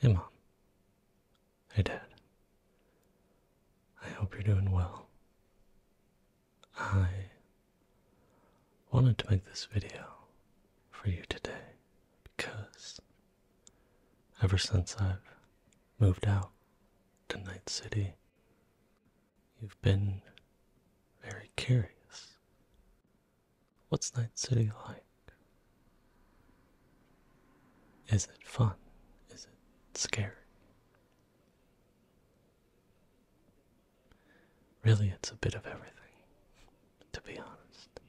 Hey, Mom. Hey, Dad. I hope you're doing well. I wanted to make this video for you today because ever since I've moved out to Night City, you've been very curious What's Night City like? Is it fun? Is it scary? Really, it's a bit of everything, to be honest.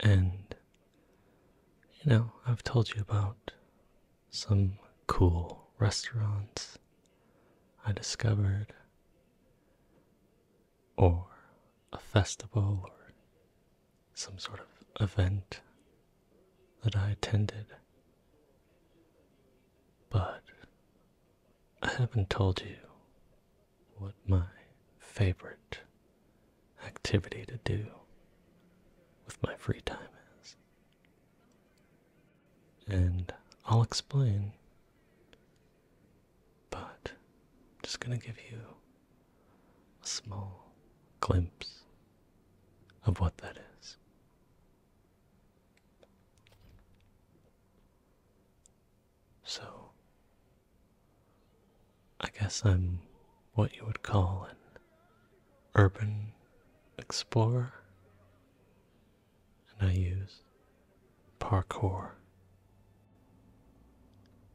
And, you know, I've told you about some cool restaurants I discovered or a festival or some sort of event that I attended. But I haven't told you what my favorite activity to do with my free time is. And I'll explain but I'm just going to give you a small glimpse of what that is. So, I guess I'm what you would call an urban explorer and I use parkour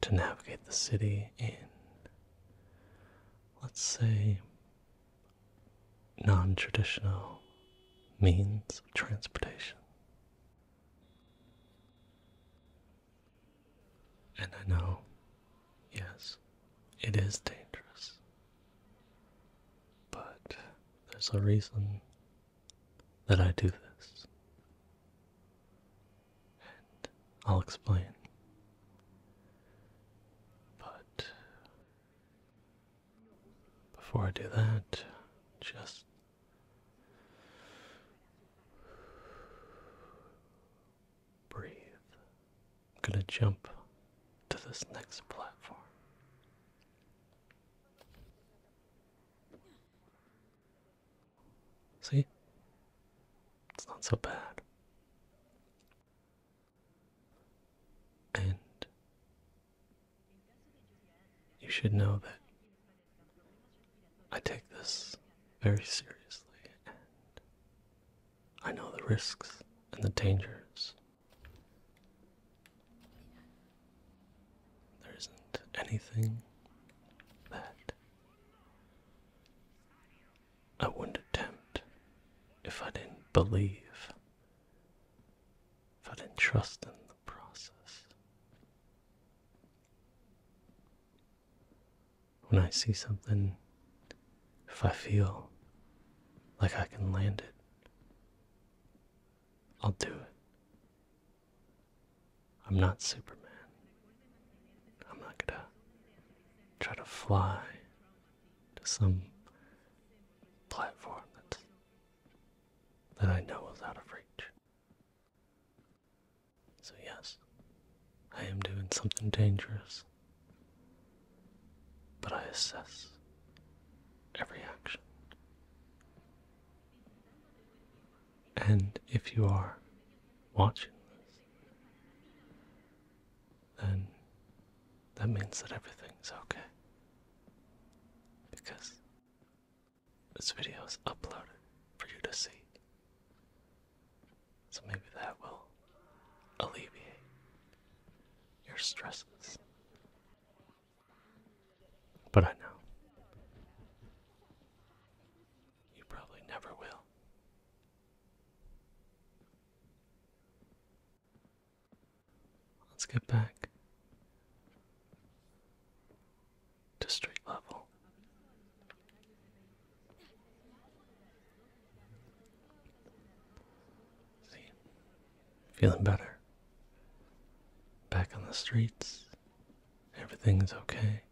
to navigate the city in, let's say, non traditional means of transportation. And I know, yes, it is dangerous. But there's a reason that I do this. And I'll explain. But before I do that, just breathe. I'm going to jump to this next platform. See? It's not so bad. And you should know that I take this very seriously, and I know the risks and the dangers there isn't anything that I wouldn't attempt if I didn't believe, if I didn't trust in the process. When I see something, if I feel like I can land it, I'll do it. I'm not Superman. I'm not gonna try to fly to some platform that's, that I know is out of reach. So, yes, I am doing something dangerous, but I assess every action. And if you are watching this, then that means that everything is okay. Because this video is uploaded for you to see. So maybe that will alleviate your stresses but I know. You probably never will. Let's get back to street level. See, Feeling better. Back on the streets. Everything's okay.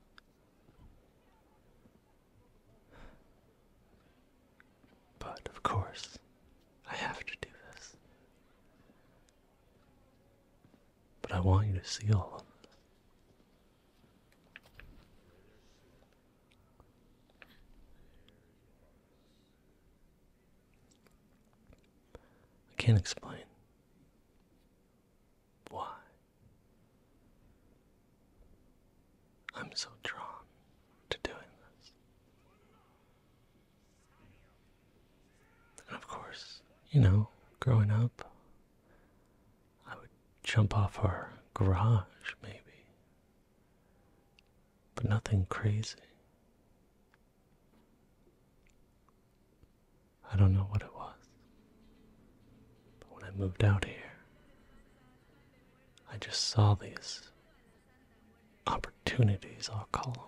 But of course, I have to do this. But I want you to see all of this. I can't explain why I'm so drawn to doing this. And of course, you know, growing up, I would jump off our garage, maybe. But nothing crazy. I don't know what it was. But when I moved out here, I just saw these opportunities, I'll call them.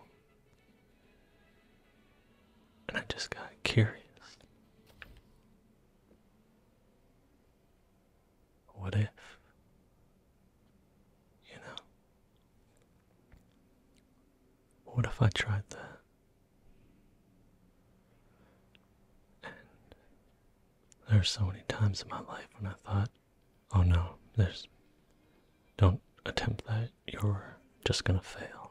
And I just got curious. What if? You know? What if I tried that? And there are so many times in my life when I thought, oh no, there's. Don't attempt that, you're just gonna fail.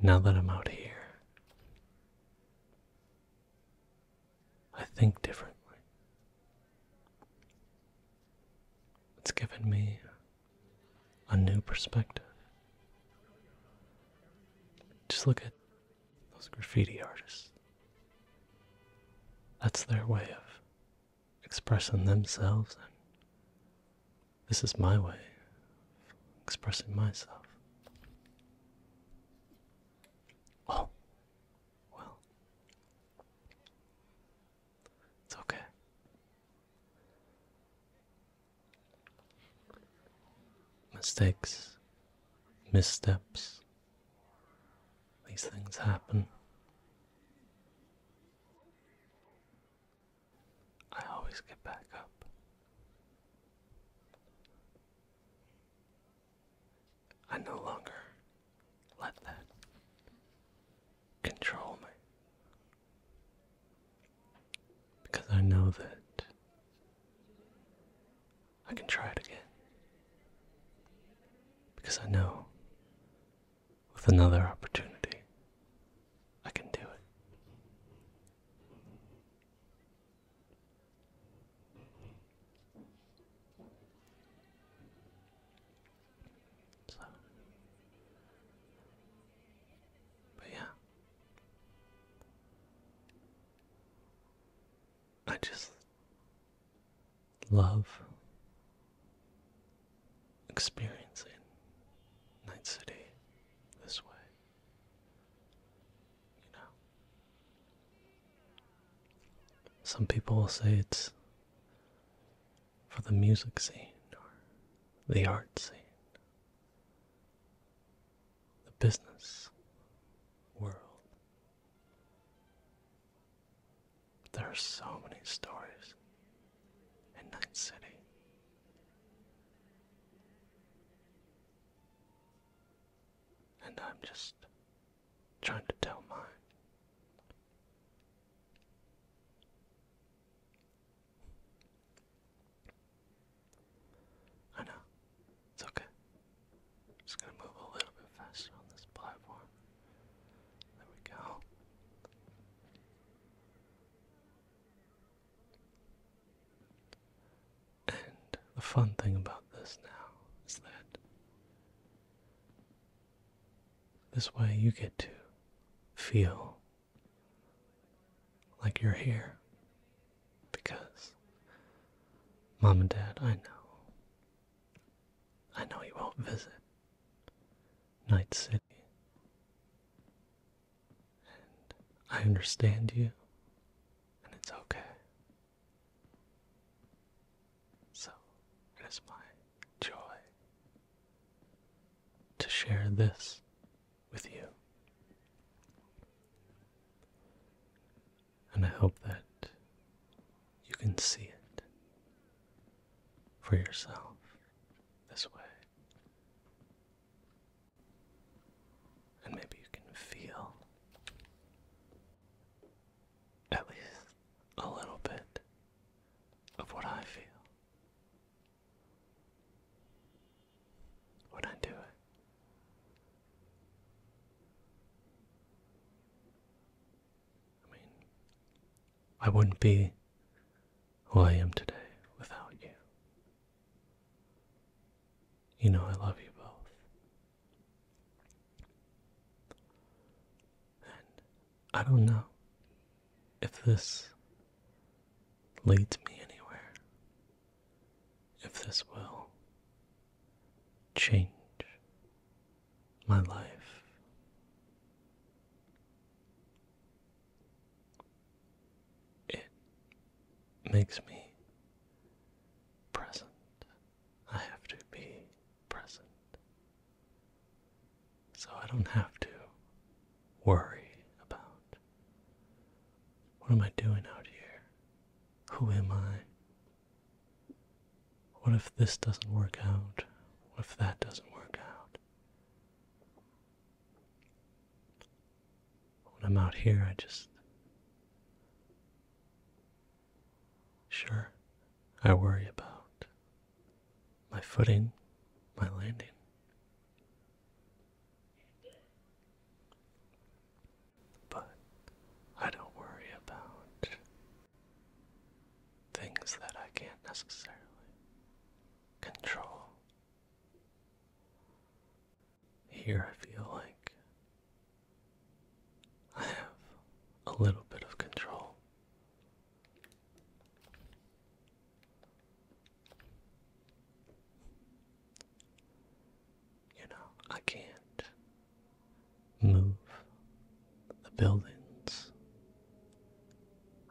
Now that I'm out here, I think differently. It's given me a new perspective. Just look at those graffiti artists. That's their way of expressing themselves, and this is my way of expressing myself. Oh, well, it's okay. Mistakes, missteps, these things happen. I always get back up. I no longer let that control me. Because I know that I can try it again. Because I know with another opportunity I can do it. So, but yeah, I just love experiencing Night City this way. You know, some people will say it's for the music scene or the art scene, the business world. There are so many stories in Night City. And I'm just trying to tell mine. I know. It's okay. just gonna move a little bit faster on this platform. There we go. And the fun thing about this now is that this way you get to feel like you're here because mom and dad, I know. I know you won't visit Night City. And I understand you, and it's okay. So it is my joy to share this with you. And I hope that you can see it for yourself this way. And maybe you can feel at least a little bit of what I feel when I do it. I mean, I wouldn't be who I am today without you. You know, I love you both. I don't know if this leads me anywhere, if this will change my life. It makes me present I have to be present. So I don't have to worry about what am I doing out here? Who am I? What if this doesn't work out? What if that doesn't work out? When I'm out here, I just Sure, I worry about my footing, my landing. But I don't worry about things that I can't necessarily control. Here I feel like I have a little bit of control. You know, I can't move the buildings.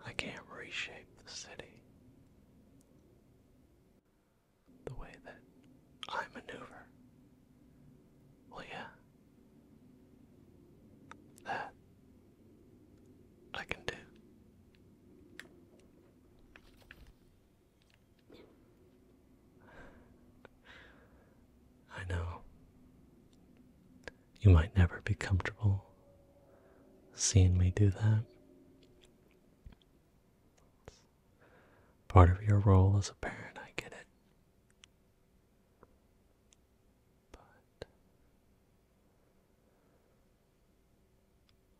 I can't reshape the city the way that I maneuver well, yeah. That I can do. I know. You might never be comfortable seeing me do that. Part of your role as a parent, I get it. But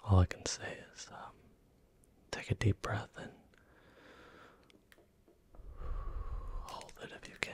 all I can say is um, take a deep breath and hold it if you can.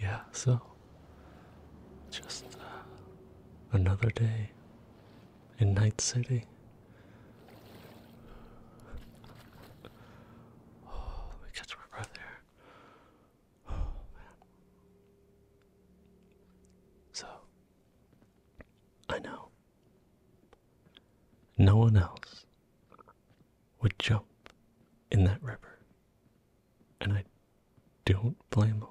yeah, so just uh, another day in Night City. Oh, let me catch oh, my So, I know no one else would jump in that river and I don't blame them.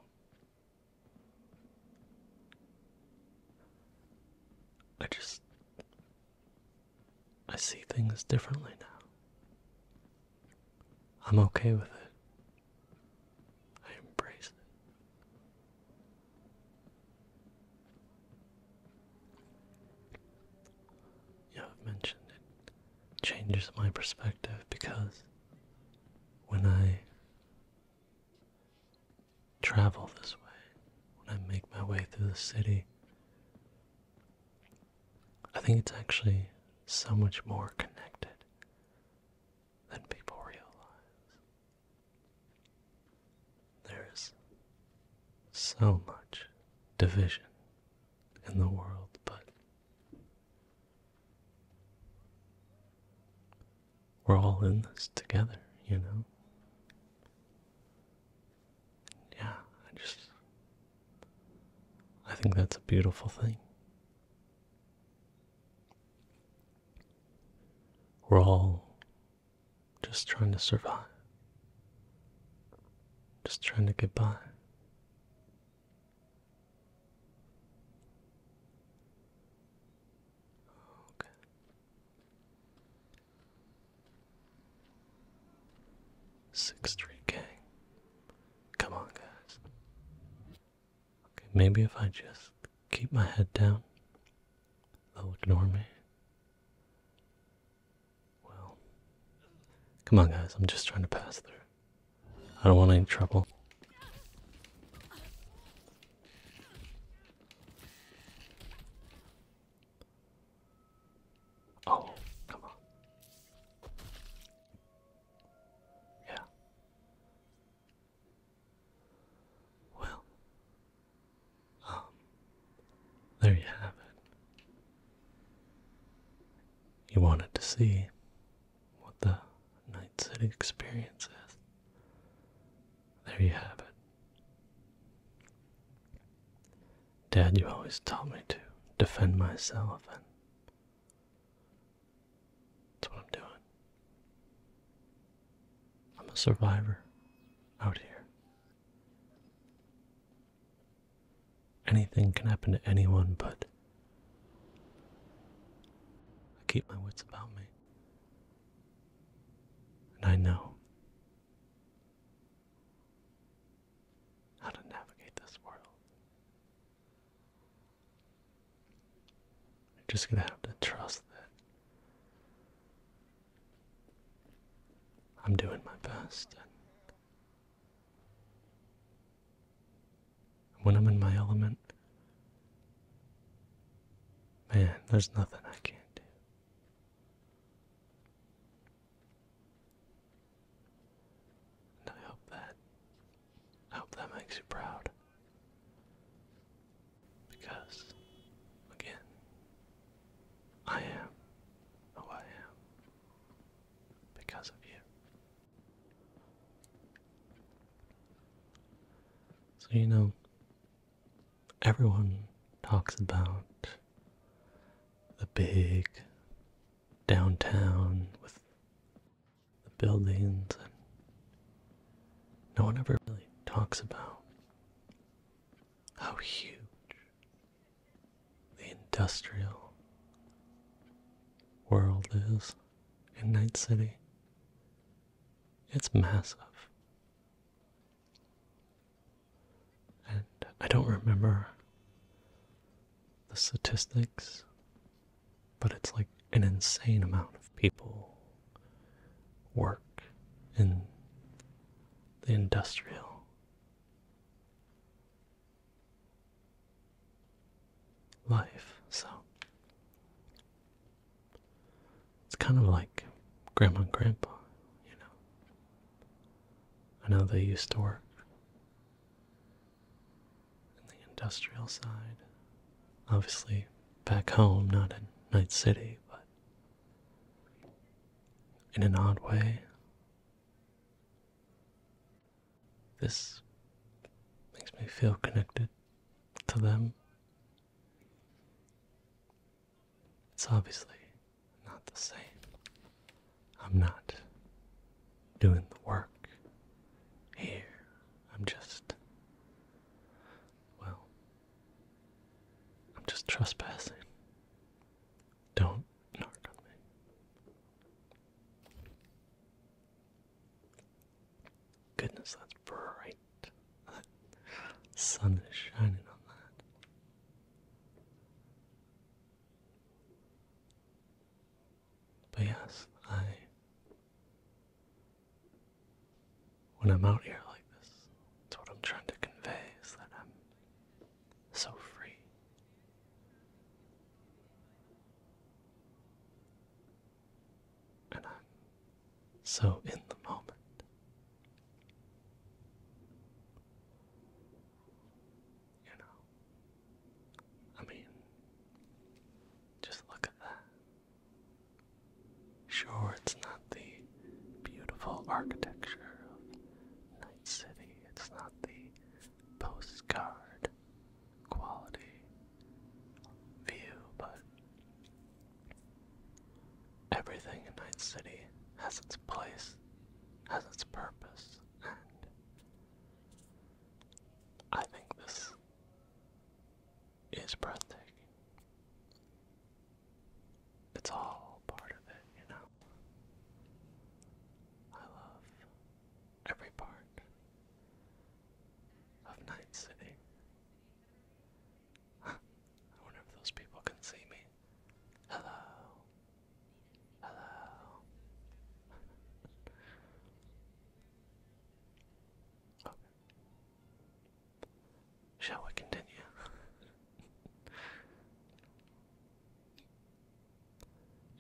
I just. I see things differently now. I'm okay with it. I embrace it. Yeah, have mentioned it changes my perspective because when I travel this way, when I make my way through the city, I think it's actually so much more connected than people realize. There is so much division in the world, but we're all in this together, you know? Yeah, I just. I think that's a beautiful thing. We're all just trying to survive, just trying to get by. Six Street Gang. Come on, guys. Okay, maybe if I just keep my head down, they'll ignore me. Well, come on, guys. I'm just trying to pass through. I don't want any trouble. Oh, come on. Yeah. Well, um, there you have it. You wanted to see what the Night City experience is. There you have it. Dad, you always taught me to defend myself, and that's what I'm doing. I'm a survivor out here anything can happen to anyone, but I keep my wits about me. And I know how to navigate this world. You're just gonna have to trust that I'm doing my best when I'm in my element, man, there's nothing I can't do. And I hope that I hope that makes you proud. Because again, I am who I am because of you. So, you know, everyone talks about the big downtown with the buildings, and no one ever really talks about how huge the industrial world is in Night City. It's massive. And I don't remember the statistics, but it's like an insane amount of people work in the industrial life. So it's kind of like grandma and grandpa, you know. I know they used to work in the industrial side. Obviously, back home, not in Night City, but in an odd way, this makes me feel connected to them. It's obviously not the same. I'm not doing the work here. I'm just, well, I'm just trespassing don't knock on me. Goodness, that's bright. the sun is shining on that. But yes, I. When I'm out here like this, it's what I'm trying to convey is that I'm so free. And I'm so in the moment. You know, I mean, just look at that. Sure, it's not the beautiful architecture of Night City, it's not the postcard quality view, but everything in Night City has its place, has its purpose, and I think this is breathtaking. It's all part of it, you know. I love every part of Night City. I wonder if those people can see me. Hello. Hello. Shall we continue?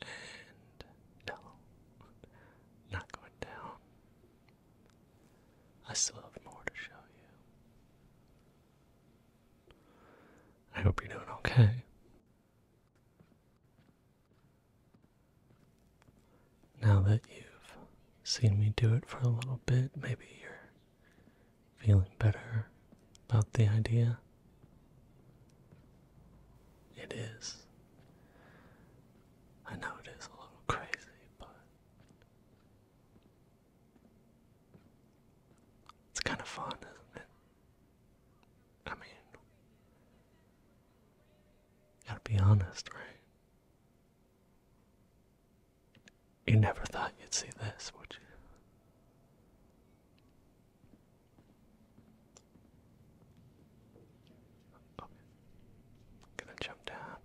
And no, not going down. I still have more to show you. I hope you're doing okay. Now that you've seen me do it for a little bit, maybe you're Feeling better about the idea? It is. I know it is a little crazy, but it's kind of fun, isn't it? I mean, gotta be honest, right? You never thought you'd see this, would you? Okay. Gonna jump down.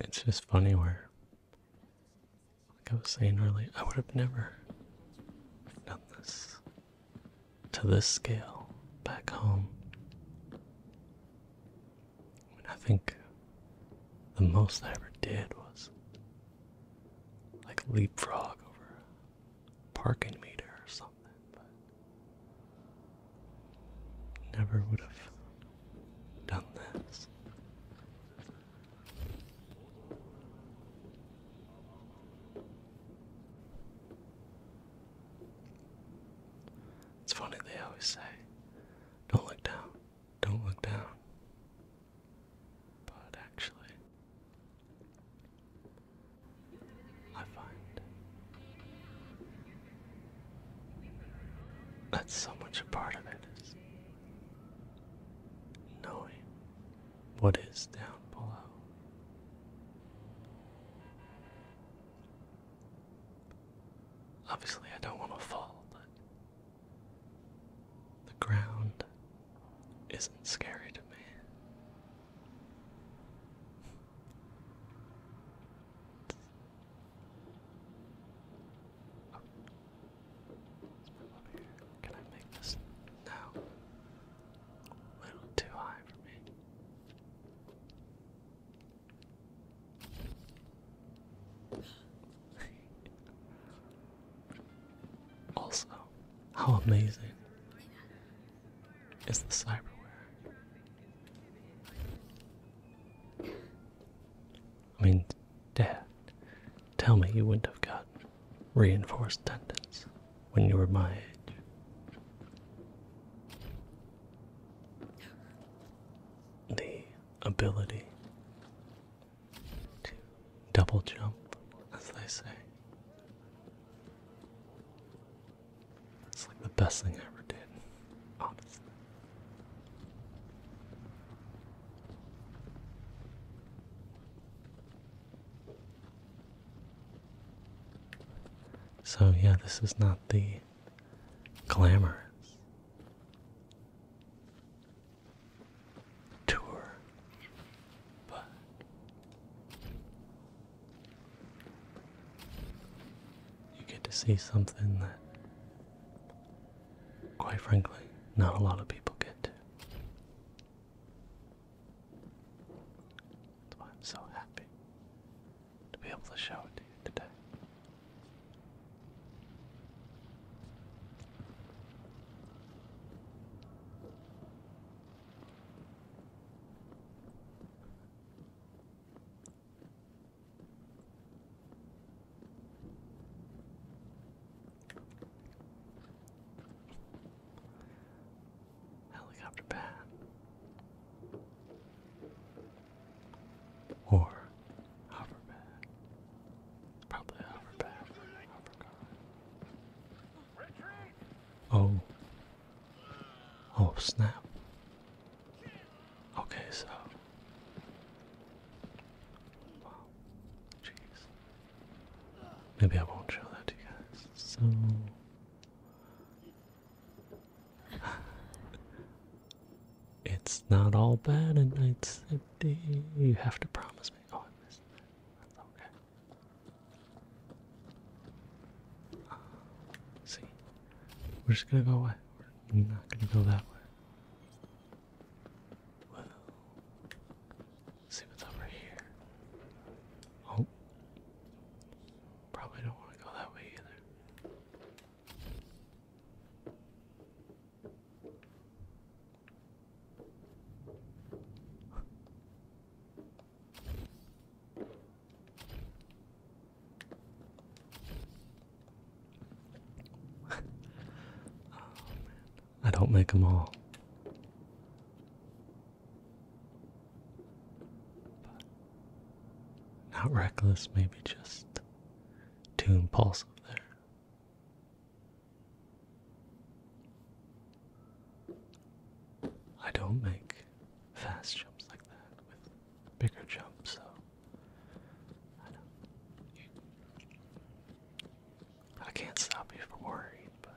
It's just funny where, like I was saying earlier, I would have never done this to this scale back home. I, I think the most I ever did was like leapfrog over a parking meter or something, Never would have done this. It's funny, they always say, don't look down, don't look down. But actually, I find that's so much a part of it is knowing what is down below. Obviously, I don't want to fall, but the ground isn't scary to me. Can I make this? No. A little too high for me. also, how amazing is the cyberware? I mean, Dad, tell me you wouldn't have got reinforced tendons when you were my age. The ability to double jump, as they say. It's like the best thing I ever did, honestly. So, yeah, this is not the glamorous tour, but you get to see something that, quite frankly, not a lot of people get to. That's why I'm so happy to be able to show it to you today. Helicopter pad. Or hover Probably hover Oh, Oh snap. Okay, so. Maybe I won't show that to you guys. So. it's not all bad in Night City. You have to promise me. Oh, I okay. see. We're just gonna go away. We're not gonna go that way. Well, see what's over here. Oh, probably don't want to go that way either. I don't make them all. not reckless, maybe just too impulsive there. I don't make fast jumps like that bigger jump, so I do I can't stop you from worrying, but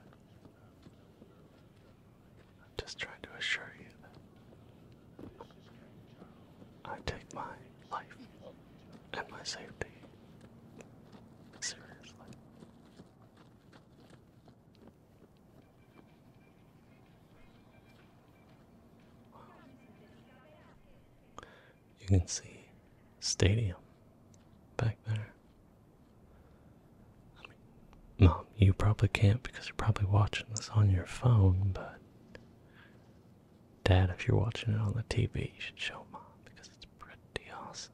I'm just trying to assure you that I take my life and my safety seriously. You can see stadium back there. Mom, you probably can't because you're probably watching this on your phone, but Dad, if you're watching it on the TV, you should show Mom because it's pretty awesome.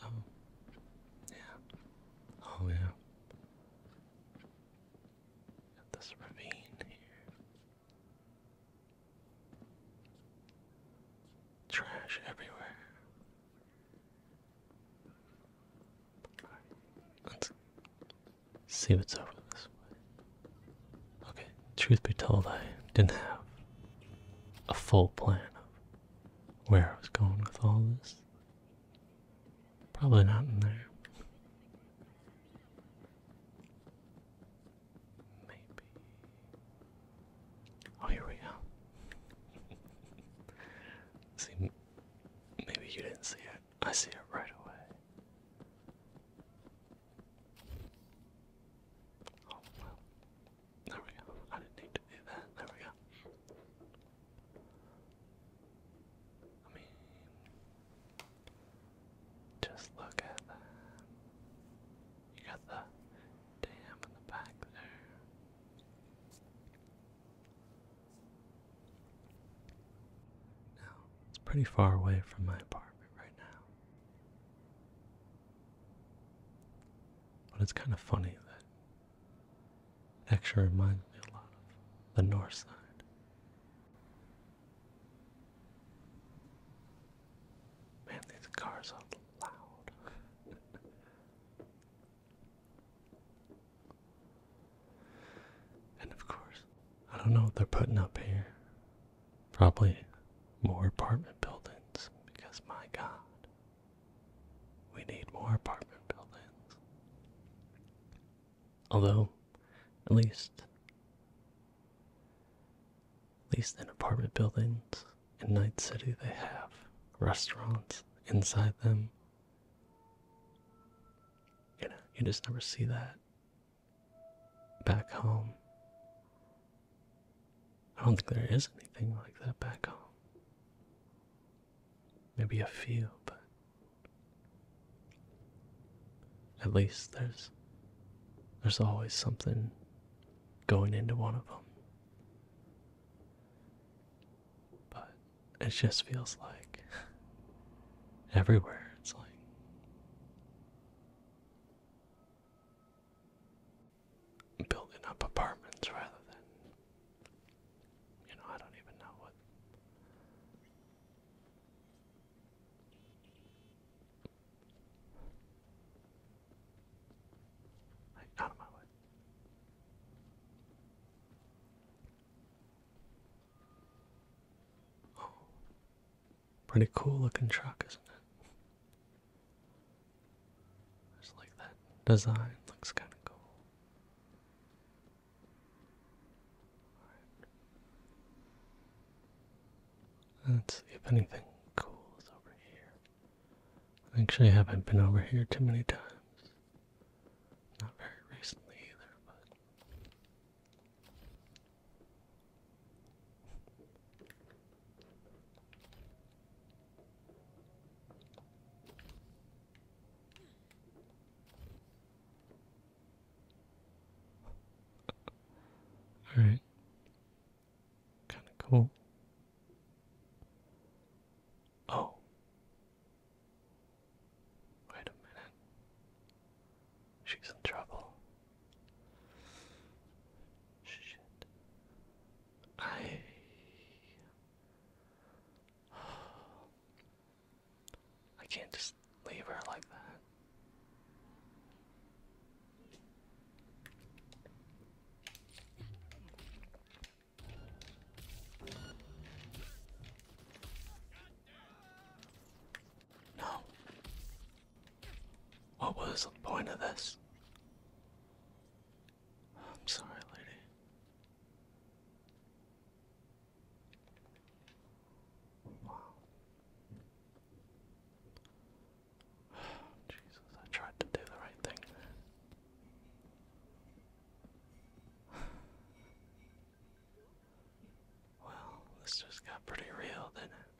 So, yeah. Oh, yeah. Got this ravine here. Trash everywhere. Let's see what's over this way. Okay, truth be told, I didn't have a full plan of where I was going with all this. Probably not in there. Maybe. Oh, here we go. see, maybe you didn't see it. I see it right away. Oh, well. There we go. I didn't need to do that. There we go. I mean, just look at that. You got the dam in the back there it's pretty far away from my apartment right now. But it's kind of funny that it actually reminds me a lot of the north side. Man, these cars are loud. And of course, I don't know what they're putting up here. Probably more apartment buildings because, my God, we need more apartment buildings. Although, at least, at least in apartment buildings, in Night City, they have restaurants inside them. You know, you just never see that back home. I don't think there is anything like that back home. Maybe a few, but at least there's there's always something going into one of them. But it just feels like everywhere it's like building up apartments rather than you know I don't even know what out of my way. Oh, pretty cool looking truck, isn't it? Just like that design looks kind of cool. Let's see if anything cool is over here. I actually haven't been over here too many times. Not very recently either, but. All right. Kind of cool. Oh. Wait a minute. She's in trouble. Shit. I. I can't just leave her like that. No. What was the point of this? I'm sorry, lady. Wow. Jesus, I tried to do the right thing. Well, this just got pretty real, didn't it?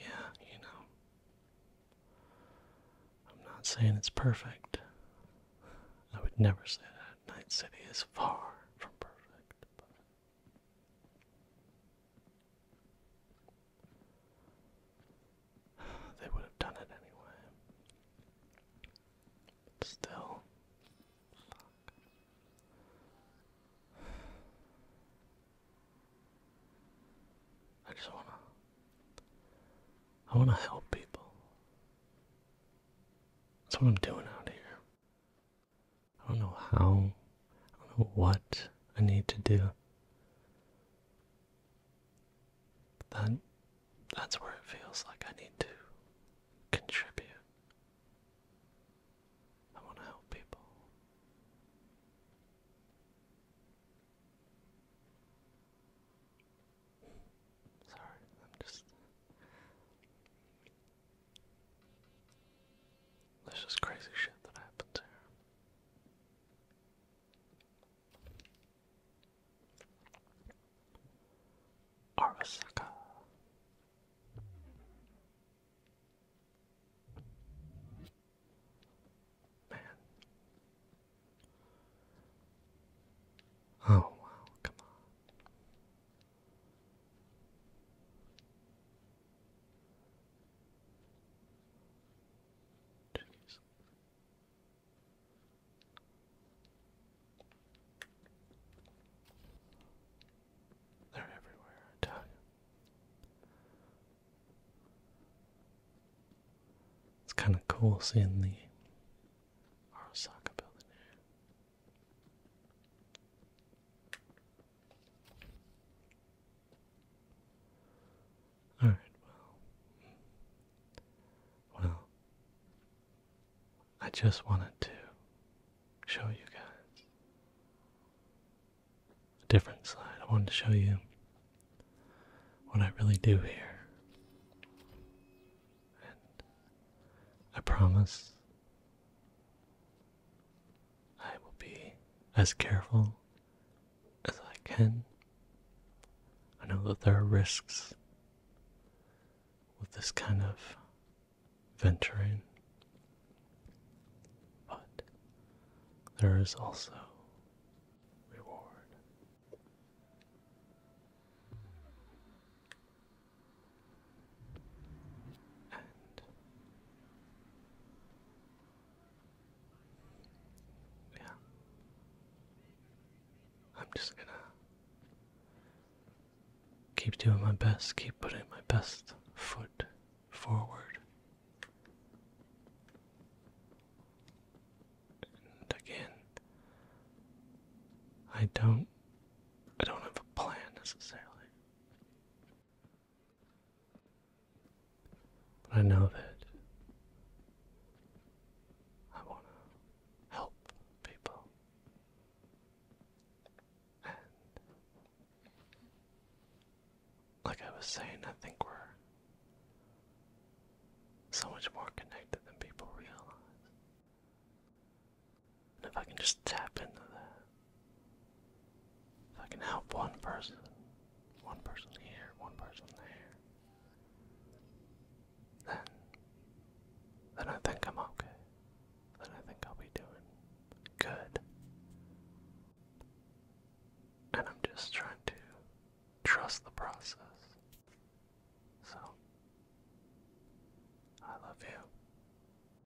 Yeah, you know. I'm not saying it's perfect. I would never say that. Night City is far from perfect, but They would have done it anyway. Still. Fuck. I just wanna. I wanna help people. That's what I'm doing out here. I don't know how, I don't know what I need to do. That that's where it feels like I need to contribute. I want to help people. Sorry, I'm just there's just crazy shit that happens here. Arasaka. Man. Oh, wow, come on. They're everywhere, It's kind of cool seeing the Arasaka building here. Alright, well. Well. I just wanted to show you guys a different side. I wanted to show you what I really do here. And I promise I will be as careful as I can. I know that there are risks with this kind of venturing, but there is also reward yeah, I'm just gonna keep doing my best, keep putting my best foot forward. And again, I don't I don't have a plan necessarily. But I know that I want to help people. And like I was saying, I think we're so much more connected than people realize if I can just tap into that, if I can help one person, one person here, one person there, then, then I think I'm okay. Then I think I'll be doing good. And I'm just trying to trust the process. So, I love you.